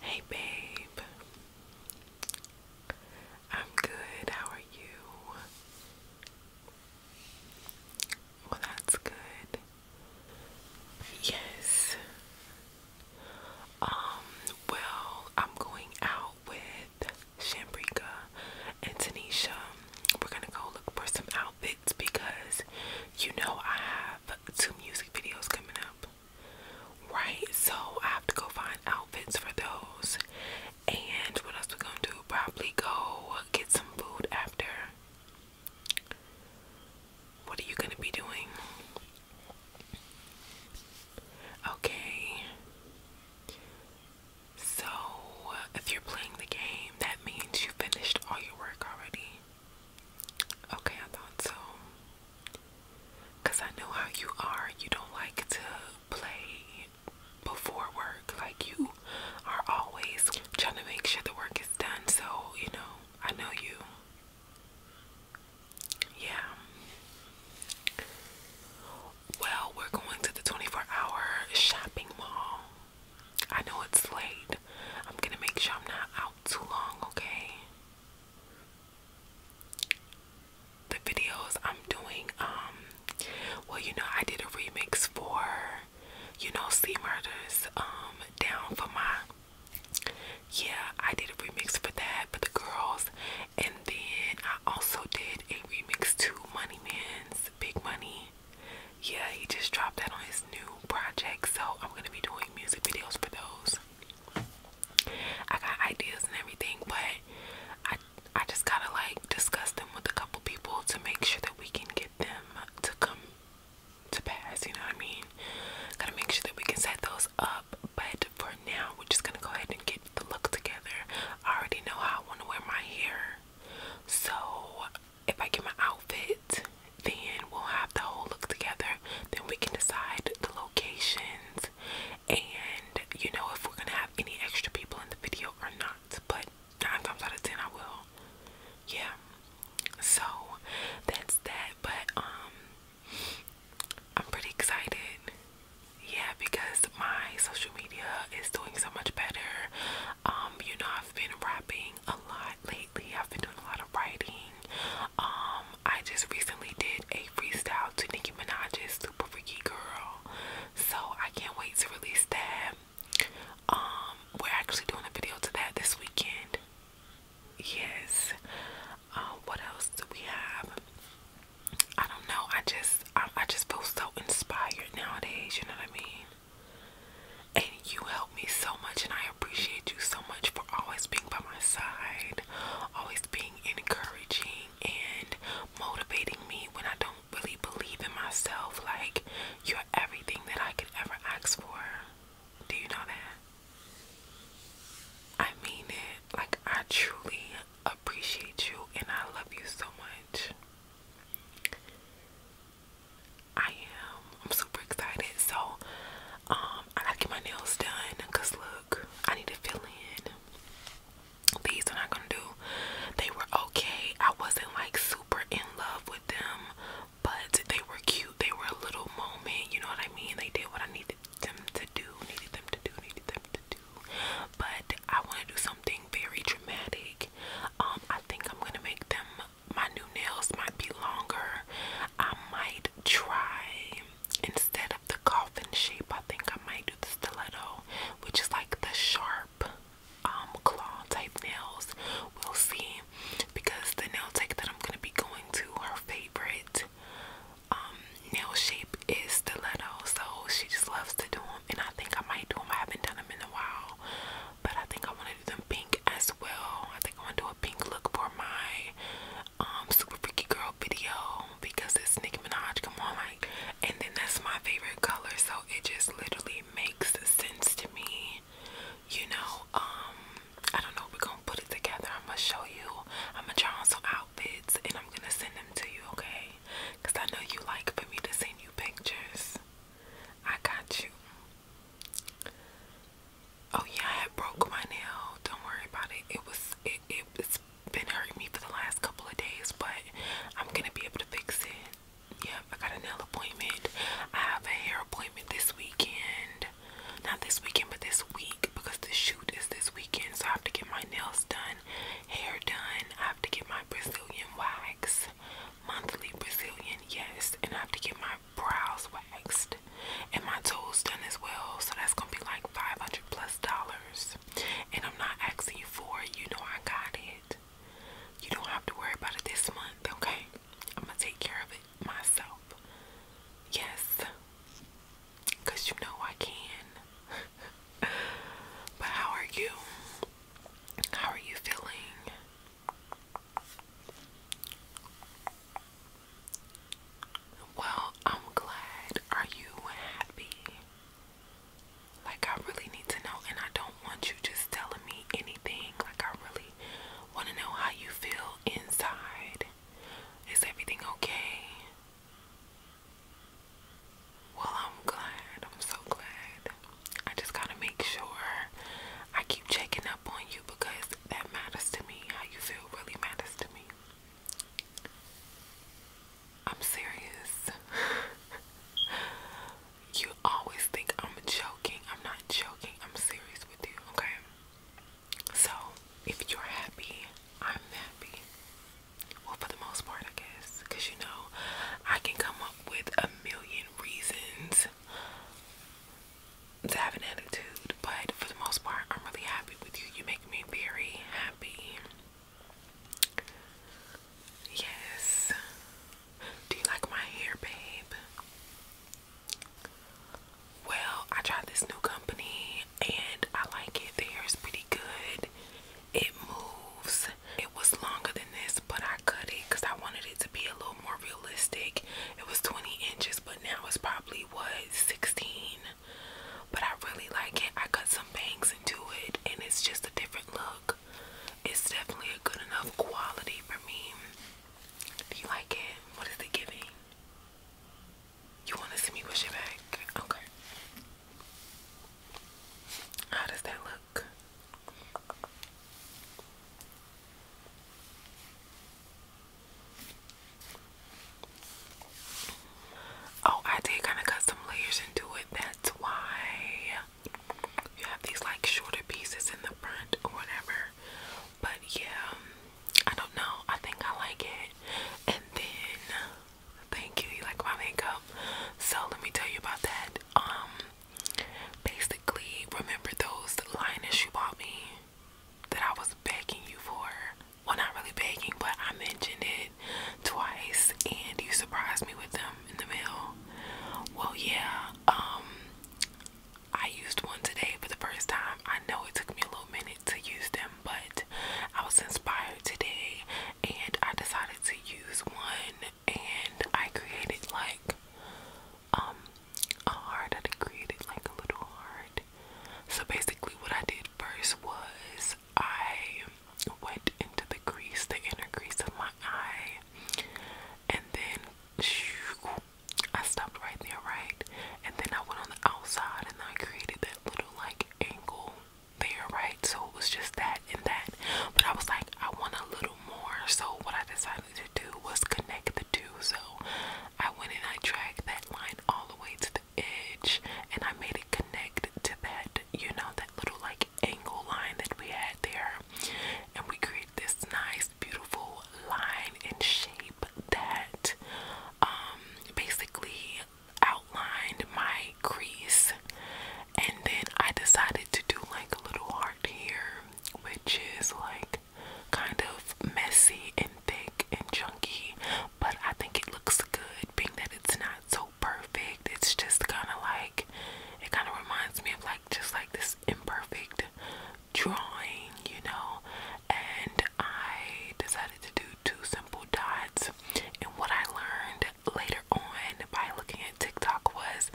Hey, babe. I'm good. How are you? Well, that's good. Yes. Um, well, I'm going out with Shambrika and Tanisha. We're gonna go look for some outfits because you know I have two music videos coming up right? So I have to go find outfits for those. And what else we gonna do? Probably go get some food after. What are you gonna be doing? Okay. So if you're playing the game, that means you finished all your work already. Okay, I thought so. Cause I know how you are. You don't like to play before work. Like you are always trying to make sure the work is done. So, you know, I know you. Yeah. Well, we're going to the 24 hour shopping mall. I know it's late. I'm gonna make sure I'm not out too long, okay? the videos I'm doing, um, well, you know, I did a remix for, you know, Sea Murders, um, down for my, yeah, I did a remix for that But the girls, and then I also did a remix to Money Man's Big Money. Yeah, he just dropped that on his new project, so I'm gonna be doing music videos for those ideas. I got ideas and everything, but I I just gotta like discuss them with a couple people to make sure that we can get them to come to pass. You know what I mean? Gotta make sure that we can set those up. But for now, we're just gonna go ahead and get the look together. I already know how I want to wear my hair, so if I get my outfit, then we'll have the whole look together. Then we can decide the locations and you know if we're gonna have any extra people in the video or not. But nine times out of ten, I will. Yeah. So that's that. But um, I'm pretty excited. Yeah, because my social media is doing so much better. Um, you know, I've been rapping a lot lately. I've been doing a lot of writing. Um, I just recently did a freestyle to Nicki Minaj's Super Freaky Girl. So I can't wait to release that. Um, we're actually doing a video to that this weekend. Yes. Uh, what else do we have? I don't know. I just I, I just feel so inspired nowadays, you know what I mean? And you help me so much and I I appreciate you so much for always being by my side, always being encouraging and motivating me when I don't really believe in myself. Like, you're everything that I could ever ask for. Do you know that? I mean it. Like, I truly appreciate you and I love you so much. I am I'm super excited. So um I gotta get my nails done because look, I need to fill in. These are not gonna do. They were okay. I wasn't like super in love with them, but they were cute. They were a little moment, you know what I mean? They did what I needed them to do, needed them to do, needed them to do. But I wanna do something very dramatic. Um, I think I'm gonna make them my new nails might be longer. I might try instead of the coffin shape, I think I might do the stiletto, which is like the sharp um claw type nails. We'll see because the nail tech that I'm gonna be going to, her favorite um nail shape is stiletto, so she just loves to do them and I think I might do them. I haven't done them in a while, but I think I want to do them pink as well. I think I want to do a pink look for my um super freaky girl video because it's Nicki Minaj. Come on, like, and then that's my favorite color, so it just literally makes sense to me. You know, um, I don't know. We're gonna put it together. I'm gonna show you. I'm gonna try on some outfits, and I'm gonna send them to you, okay? Cause I know you like for me to send you pictures. I got you. Oh yeah, I broke my nail. Don't worry about it. It was it, it has been hurting me for the last couple of days, but I'm gonna be able to fix it. Yeah, I got a nail appointment. I have a hair appointment this weekend. Not this weekend, but this week because the shoot is this weekend. So I have to get my nails done, hair done. I have to get my Brazilian wax, monthly Brazilian, yes. And I have to get my brows waxed and my toes done as well. So that's gonna be like 500 plus dollars. And I'm not asking you for it, you know I got it. You don't have to worry about it this month, okay? I'm gonna take care of it myself. Yes, because you know I can. but how are you? How are you feeling? Well, I'm glad. Are you happy? Like, I really need to know, and I don't want you just telling me anything. Like, I really want to know how you feel inside. Is everything okay? Well, I'm glad. I'm so glad. I just gotta make sure I keep checking up on you because that matters to me. How you feel really matters to me. I'm serious. you always think I'm joking. I'm not joking. I'm serious with you, okay? So, if you're happy, I'm happy. Well, for the most part, I guess. Because you know, I can come up with a million reasons to have an attitude, but for the most part, I'm really happy with you. You make me very happy. Yes. Do you like my hair, babe? Well, I tried this new company and I like it. The hair is pretty good. It moves. It was longer than this, but I cut it because I wanted it to be a little more realistic. It was 20 inches, but now it's probably was 16 but I really like it. I cut some bangs into it and it's just a different look. It's definitely a good enough quality for me. Do you like it? What is it giving? You want to see me push it back? Okay. How does that look? Oh, I did kind of cut some layers into it. That's why you have these like shorter pieces in the front or whatever. But yeah, I don't know. I think I like it. And then, thank you. You like my makeup? So let me tell you about that. Um, basically, remember those liners you bought me? that I was begging you for. Well, not really begging, but I mentioned it twice and you surprised me with them in the mail. Well, yeah, um, I used one today for the first time. I know it took me a little minute to use them, but I was inspired today and I decided to use one and I created like um a heart I created like a little heart. So basically what I did first was I went into the crease, the inner crease of my eye, and then I stopped right there, right? And then I went on the outside and I created that little like angle there, right? So it was just that and that. But I was like, I want a little more. So what I decided to do was connect the two. So I went and I dragged that line all the way to the edge and I made it connect to that, you know, that little like angle line that we had there. And we created this nice, beautiful line and shape that um, basically outlined my crease. And then I decided to do like a little heart here, which is like kind of messy and thick and chunky, but I think it looks good being that it's not so perfect. It's just kind of like it kind of reminds me of like just like this imperfect drawing, you know. And I decided to do two simple dots, and what I learned later on by looking at TikTok was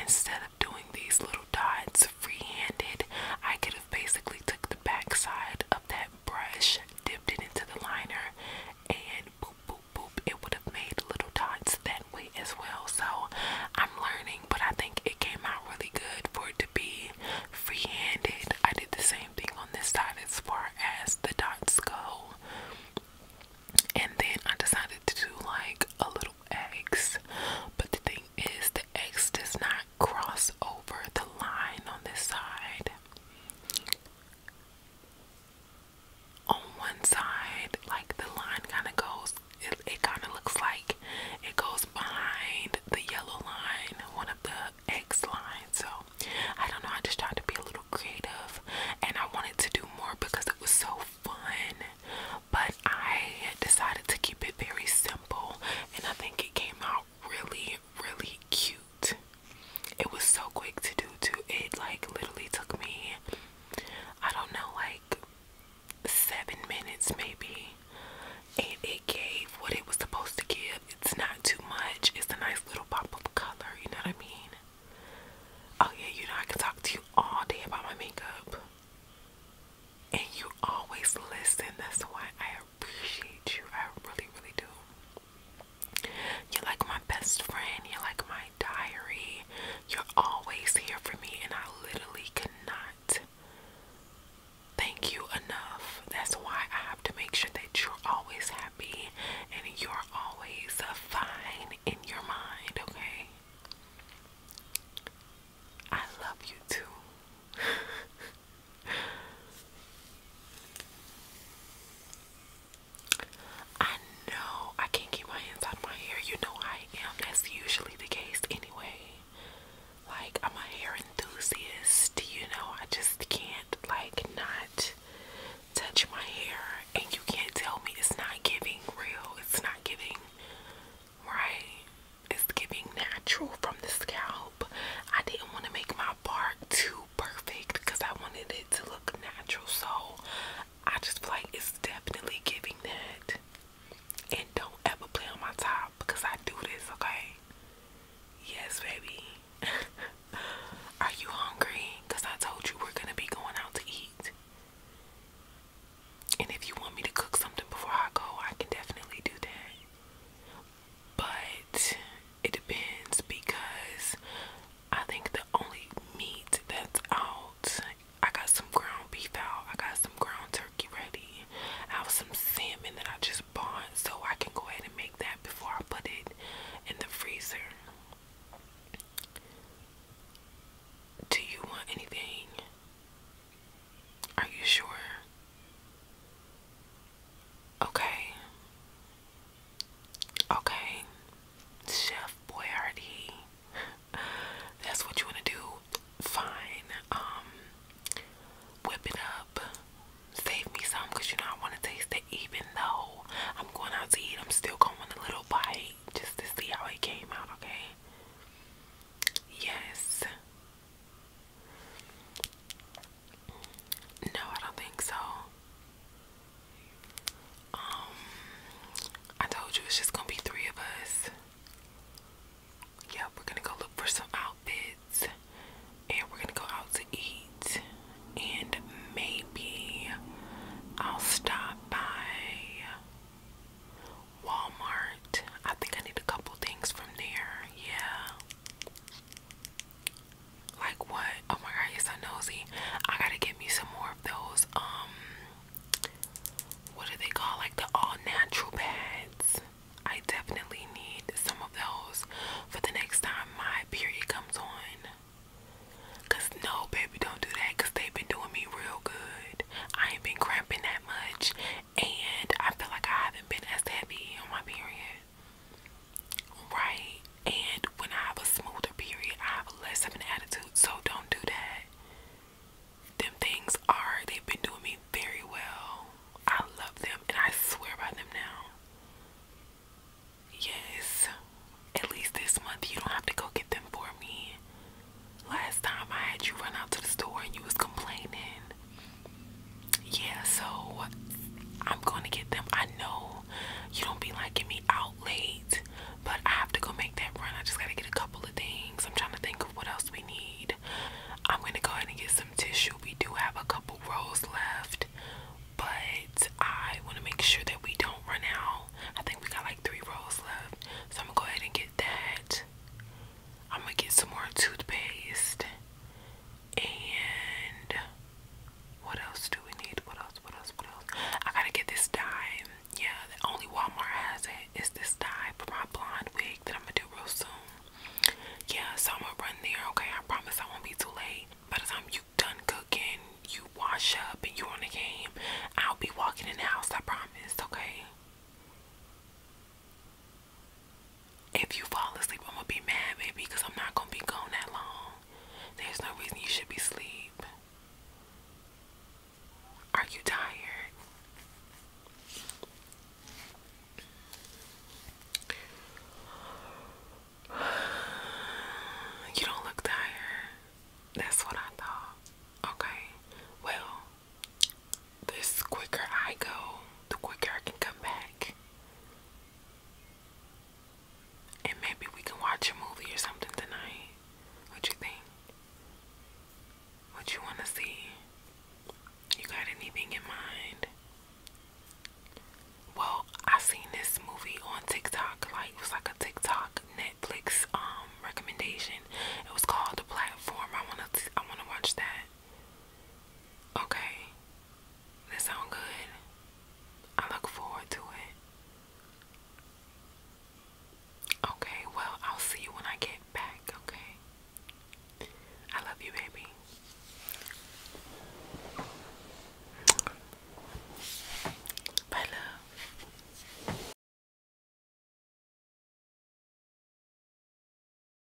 instead of doing these little dots free-handed, I could have basically took backside of that brush, dipped it into the liner, and boop, boop, boop, it would have made little dots that way as well. So I'm learning, but I think it came out really good for it to be free handed. I did the same thing on this side as far as the dots go. And then I decided to do like a little X, but the thing is the X does not cross over the line on this side. On one side, like the line kind of goes, it, it kind of looks like it goes behind the yellow line, one of the X lines. So I don't know, I just tried to be a little creative and I wanted to do more because it was so fun. But I decided to keep it very simple and I think it came out really, really cute. It was so quick to do too. It like literally took me, I don't know, like seven minutes maybe. And it gave what it was supposed to give. It's not too much. It's a nice little pop of color, you know what I mean? Oh yeah, you know I can talk to you all day about my makeup. And you always listen. That's why I appreciate you. I really, really do. You're like my best friend. You're like my diary. You're always here for me, and I literally cannot thank you enough. That's why I have to make sure that you're always happy and you're always fine in your mind, okay? I love you too. I know I can't keep my hands out of my hair. You know I am. That's usually the case anyway. Like, I'm a hair enthusiast. You know, I just can't, like, not touch my hair. And you can't tell me it's not giving real. It's not giving, right? It's giving natural from the scalp. I didn't want to make my part too perfect because I wanted it to look natural. So I just feel like it's definitely giving that. And don't ever play on my top because I do this, okay? Yes, baby. Are you hungry? Because I told you we're going to be going out to eat. And if you want me to cook something before I go, I can definitely do that but it depends because I think the only meat that's out, I got some ground beef out, I got some ground turkey ready, I have some salmon that I just bought, so I can go ahead and make that before I put it in the freezer. Do you want anything? Are you sure? Okay. Okay. Chef Boyardee. That's what you want to do. Fine. Um whip it up. Save me some you know I want to taste it even though I'm going out to eat. I'm still going a little bite just to see how it came out, okay? Yes. No, I don't think so. Um, I told you it's just gonna be three of us. Yep, we're gonna go look for some outfits and we're gonna go out to eat. And maybe I'll stop by Walmart. I think I need a couple things from there. Yeah. Like what? Oh my god, you're so nosy. I gotta get me some more of those. Um, what do they call like the all natural pads? I definitely need some of those for the next time my period comes on. Cause no, baby, don't do that. Cause they've been doing me real good. I ain't been cramping that much, and I feel like I haven't been as heavy on my period, right? And when I have a smoother period, I have less of an attitude, so don't do that. Them things are, they've been doing me very well. I love them and I swear by them now. Yes, at least this month you don't have to go get them for me. Last time I had you run out to the store and you was complaining yeah, so I'm gonna get them. I know you don't be liking me out late, but I have to go make that run. I just gotta get a couple of things. I'm trying to think of what else we need. I'm gonna go ahead and get some tissue. We do have a couple rolls left, but I wanna make sure that we don't run out. I think we got like three rolls left, so I'm gonna go ahead and get that. I'm gonna get some more toothpaste and what else do we need? What else? What else? What else? I gotta get this dye. Yeah, the only Walmart has it is this dye for my blonde wig that I'm gonna do real soon. Yeah, so I'm gonna run there. Okay, I promise I won't be too late. By the time you done cooking, you wash up, and you on the game, I'll be walking in the house. I promise. Okay. If you fall asleep, I'm gonna be mad, baby, because I'm not gonna be gone that long. There's no reason you should be asleep. Are you tired? You don't look tired. That's what I thought. Okay. Well, this quicker I go, the quicker I can come back. And maybe we can watch a movie or something tonight. What you think? What you want to see? You got anything in mind? Well, I seen this movie on TikTok. Like it was like a TikTok Netflix um recommendation. It was called The Platform. I wanna I wanna watch that. Okay. That sound good. I look forward to it. Okay, well, I'll see you when I get back, okay? I love you, baby. Bye, love.